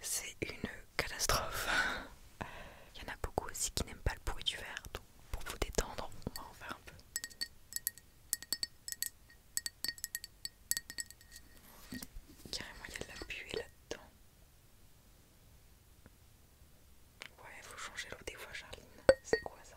c'est une catastrophe. Il y en a beaucoup aussi qui n'aiment pas le bruit du verre, donc pour vous détendre, on va en faire un peu. Carrément, il y a de la buée là-dedans. Ouais, il faut changer l'eau des fois, Charline. C'est quoi ça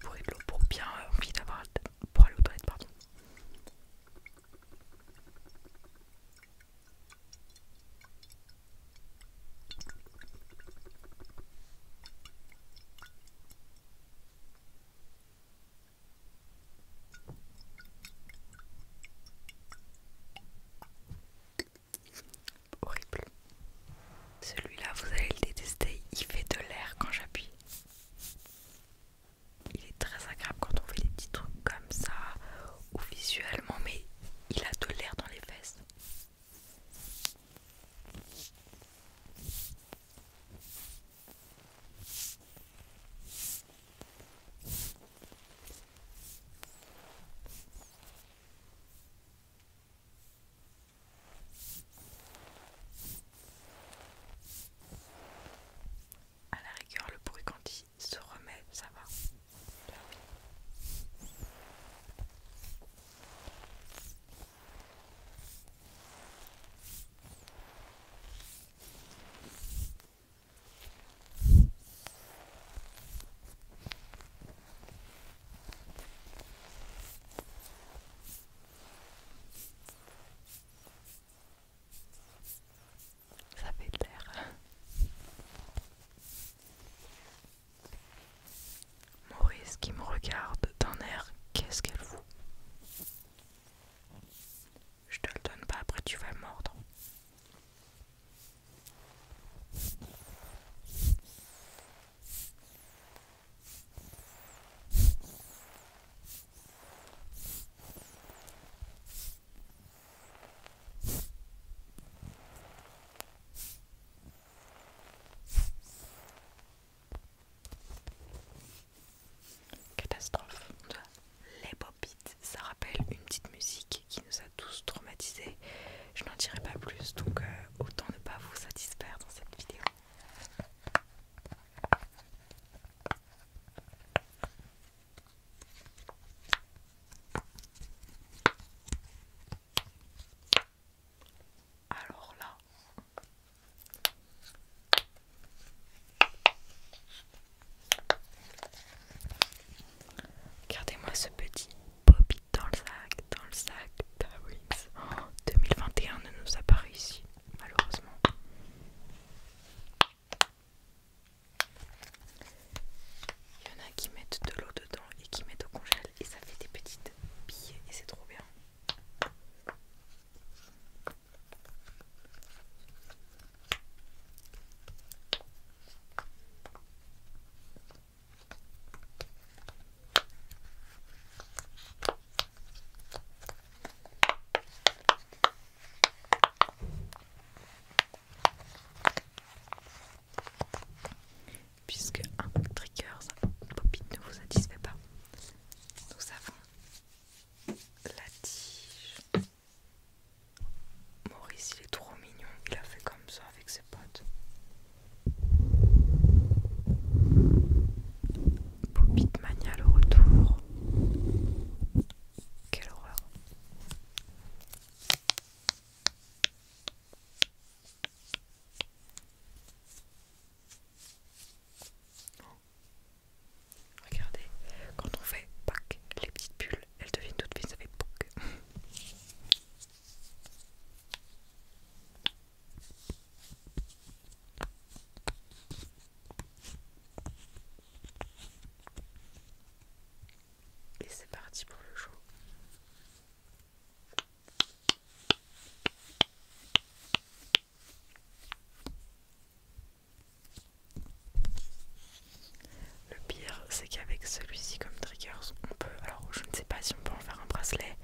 Pour de l'eau, pour bien euh, envie d'avoir pour aller aux toilettes, pardon. Horrible. Celui-là, vous allez le détester. Il fait de l'air quand j'appuie. Il est très agréable quand on fait des petits trucs comme ça ou visuellement, mais il a de l'air dans les fesses. À la rigueur, le bruit quand il se remet, ça va. Ça fait de l'air. Maurice qui me regarde d'un air qu'est-ce qu'elle fout Je te le donne pas, après tu vas mordre. Catastrophe. Les pop ça rappelle une petite musique qui nous a tous traumatisés. Je n'en dirai pas plus, donc euh, autant ne pas vous satisfaire dans cette vidéo. Alors là, regardez-moi ce petit Bobby dans le sac, dans le sac Tawix. 2021 ne nous a pas réussi, malheureusement. Il y en a qui mettent de l'eau dedans et qui mettent au congélateur et ça fait des petites billes et c'est trop bien puisque un tricker Popit ne vous satisfait pas. Nous avons la tige. Maurice il est trop mignon, il a fait comme ça avec ses potes. Popit Mania le retour. Quelle horreur. Regardez, quand on fait pack, les petites bulles, elles deviennent toutes fines avec bouc. Et c'est parti pour le show. Le pire, c'est qu'avec celui-ci comme triggers, on peut. Alors, je ne sais pas si on peut en faire un bracelet.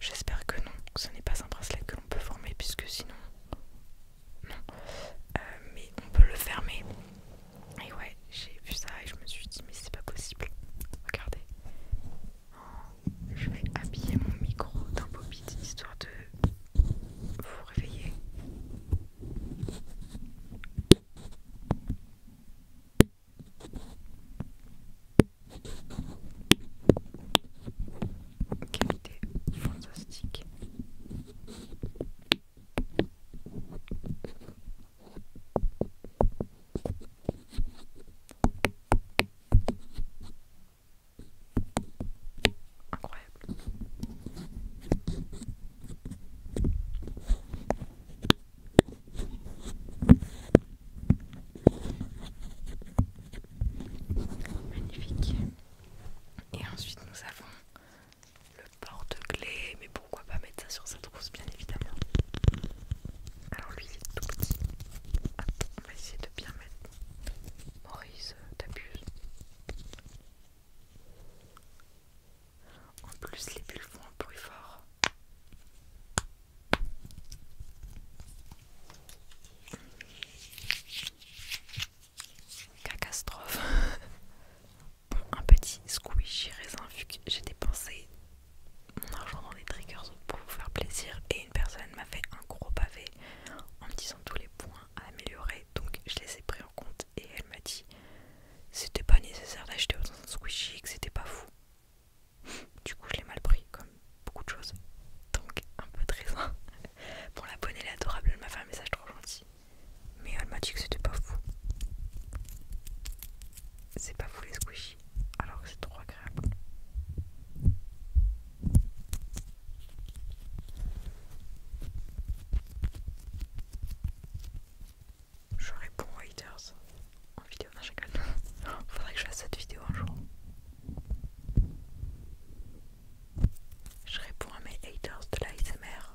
J'espère que non, ce n'est pas un bracelet que l'on peut former, puisque sinon. Non. Euh, mais on peut le fermer et ouais, j'ai vu ça et je me suis dit, mais c'est pas possible. Regardez. je vais habiller mon micro d'un pop histoire de vous réveiller. Qualité fantastique. Incroyable. Magnifique. Et ensuite nous avons le porte-clés, mais pourquoi pas mettre ça sur sa trousse, bien évidemment. Alors lui, il tout petit. Attends, on va essayer de bien mettre. Maurice, t'abuses. En plus, les bulles font un bruit fort. Catastrophe. un petit squishy raisin vu que j'ai dépensé mon argent dans les triggers pour vous faire plaisir et une personne m'a fait un gros pavé en me disant tous les points à améliorer donc je les ai pris en compte et elle m'a dit c'était pas nécessaire d'acheter autant de squishy que c'était pas fou du coup je l'ai mal pris comme beaucoup de choses donc un peu de raisin pour la bonne est adorable elle m'a fait un message trop gentil mais elle m'a dit que c'était pas fou. C'est pas fou les squishies, alors que c'est trop agréable. Je réponds aux haters en vidéo, non je rigole. Faudrait que je fasse cette vidéo un jour. Je réponds à mes haters de l'ASMR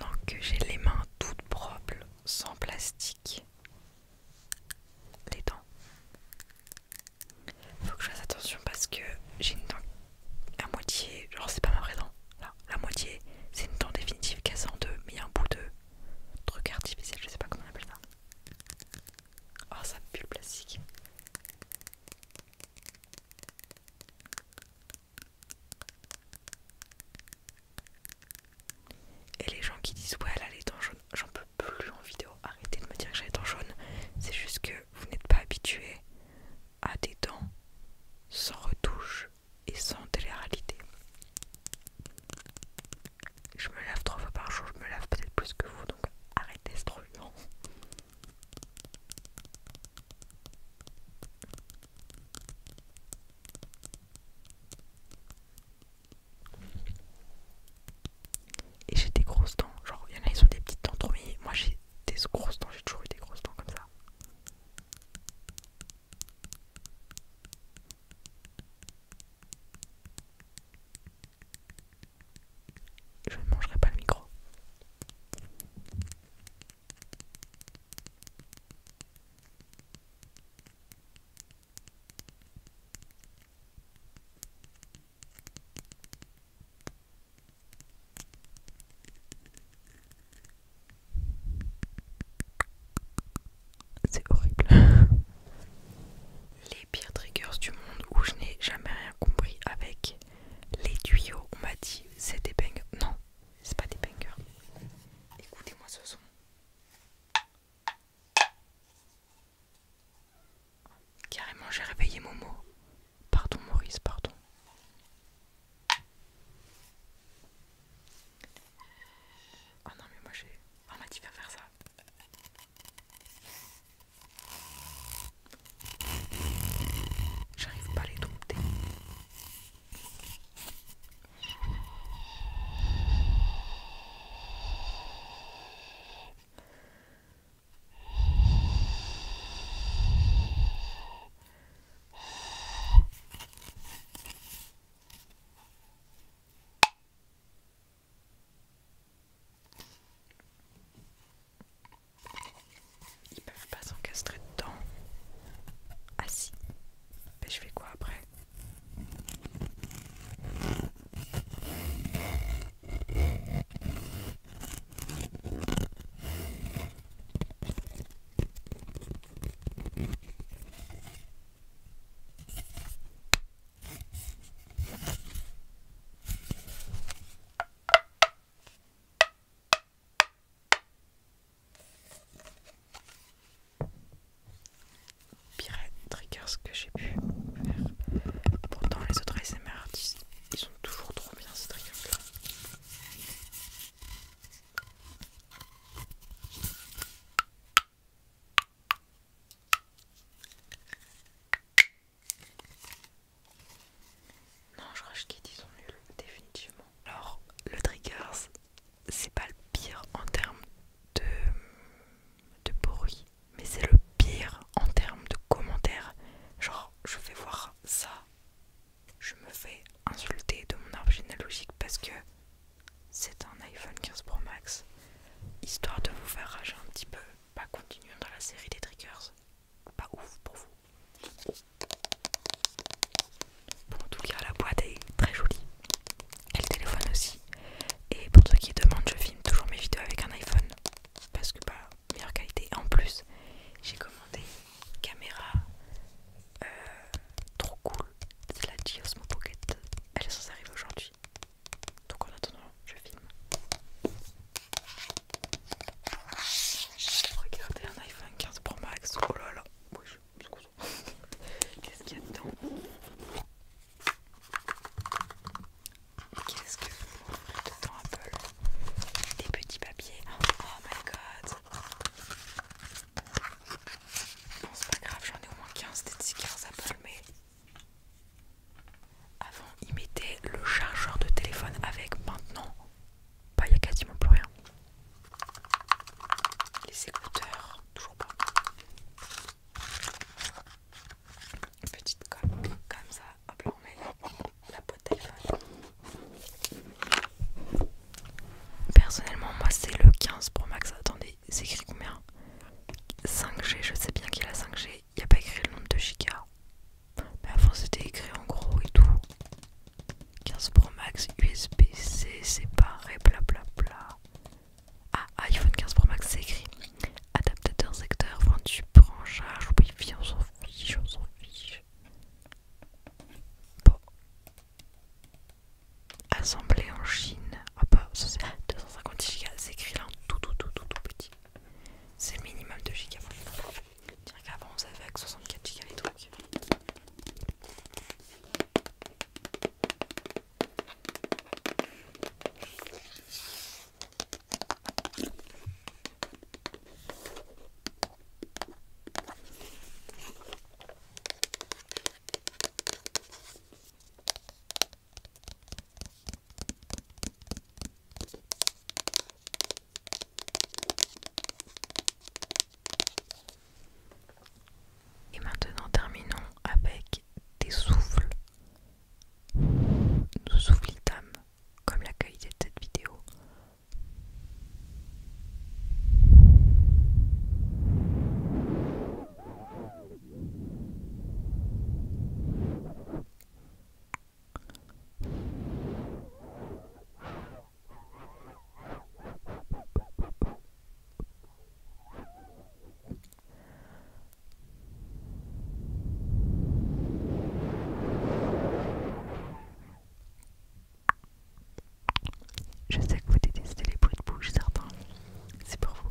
Donc j'ai les mains toutes propres, sans plastique. Les dents. Faut que je fasse attention parce que j'ai une dent la moitié, genre c'est pas ma vraie la moitié c'est une dent définitive cassée en deux, mais il y a un bout de truc artificiel, je sais pas comment on appelle ça. Oh ça pue le plastique. Et les gens qui disent ouais elle a les dents j'en peux plus en vidéo, arrêtez de me dire que j'ai dans jaune, c'est juste que vous n'êtes pas habitué à des dents sans retouche et sans télé Je me lave trois fois par jour, je me lave peut-être plus que vous, donc arrêtez ce truc. Et j'ai des grosses dents, genre il y en a ils sont des petites dents trop mais moi j'ai des grosses dents, j'ai toujours eu des grosses dents comme ça. Je ne mangerai pas le micro. C'est horrible. les pires triggers du monde où je n'ai jamais rien compris avec les tuyaux. On m'a dit c'est des bangers. Non, c'est pas des bangers. Écoutez-moi ce son. Carrément, j'ai réveillé Momo. Pardon Maurice, pardon. Oh non mais moi j'ai... On m'a dit de faire ça. J'arrive pas à les dompter. Ils peuvent pas s'encastrer dedans. Ah si. Mais je fais quoi après Pirate trigger ce que j'ai pu faire. Pourtant les autres artistes ils sont toujours trop bien ces triggers là Non, je crois qu'ils ils sont nuls, définitivement. Alors, le Triggers, c'est pas le pire en termes de bruit mais c'est le pire en termes de commentaires. Genre, je vais voir ça, je me fais insulter de mon arbre généalogique parce que c'est un iPhone 15 Pro Max. Histoire de vous faire rager un petit peu, pas bah, dans la série des triggers. Pas ouf pour vous. Bon, en tout cas, la boîte est très jolie. Elle téléphone aussi. Et pour ceux qui demandent, je filme toujours mes vidéos avec un iPhone parce que bah meilleure qualité en plus j'ai commandé une caméra euh, trop cool c'est la Giosmo Pocket elle est censée arriver aujourd'hui donc en attendant je filme regardez un iPhone 15 Pro Max oh là là qu'est-ce qu'il y a dedans Qu'est-ce que vous dedans Apple Des petits papiers. Oh my god Bon c'est pas grave, j'en ai au moins 15 des stickers Apple mais avant ils mettaient le chargeur de téléphone avec maintenant. pas bah, il n'y a quasiment plus rien. Les écouteurs, toujours pas petite colle comme ça. Hop là, on met la, peau de téléphone. Personnellement, moi c'est le 15 Pro Max. Attendez, c'est écrit combien 5G, je sais bien qu'il a 5G. Il n'y a pas écrit le nombre de gigas. Mais avant c'était écrit en gros et tout. 15 Pro Max USB-C, séparé, bla Bla bla. Ah, iPhone 15 Pro Max, c'est écrit. Adaptateur secteur vendu, branchage, wifi, on s'en fiche, on s'en fiche. Bon. Assemblé en Chine. Ah bah, ça c'est 250 go c'est écrit là en tout, tout, tout, tout, petit. C'est le minimum de gigas. Tiens, qu'avant on savait avec 64 go les trucs. Et maintenant terminons avec des souffles nous dames, comme la qualité de cette vidéo. Je sais que vous détestez les bruits de bouche, certains. C'est pour vous.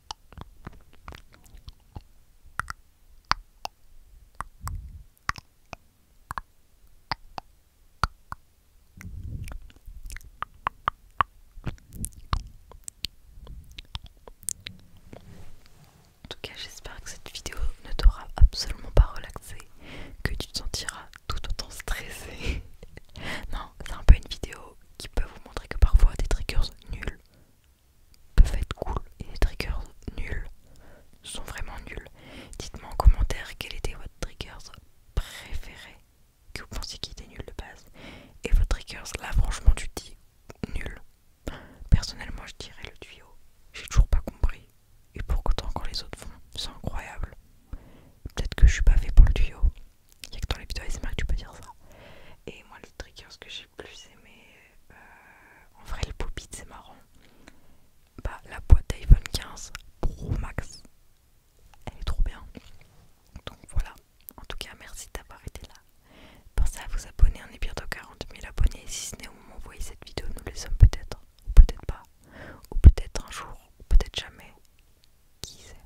En tout cas, j'espère que cette vidéo ne t'aura absolument pas relaxé, que tu te sentiras tout autant stressé. non, c'est un peu une vidéo qui peut vous montrer que parfois des triggers nuls peut peuvent être cool et les triggers nuls sont vraiment nuls. Dites-moi en commentaire quel était votre trigger préféré que vous pensez qu'il était nul de base et votre trigger là franchement tu dis nul. Personnellement je dirais le tuyau. J'ai toujours pas compris et pour autant quand les autres font c'est incroyable. Peut-être que je suis pas fait pour le tuyau. Il a que dans les vidéos ASMR que tu peux dire ça. Et moi, le trigger, ce que j'ai le plus aimé, euh, en vrai, le pop c'est marrant. Bah, la boîte iPhone 15 Pro Max, elle est trop bien. Donc voilà, en tout cas, merci d'avoir été là. Pensez à vous abonner, on est bientôt 40 000 abonnés. Si ce n'est au moment où vous voyez cette vidéo, nous les sommes peut-être, ou peut-être pas, ou peut-être un jour, ou peut-être jamais. Qui sait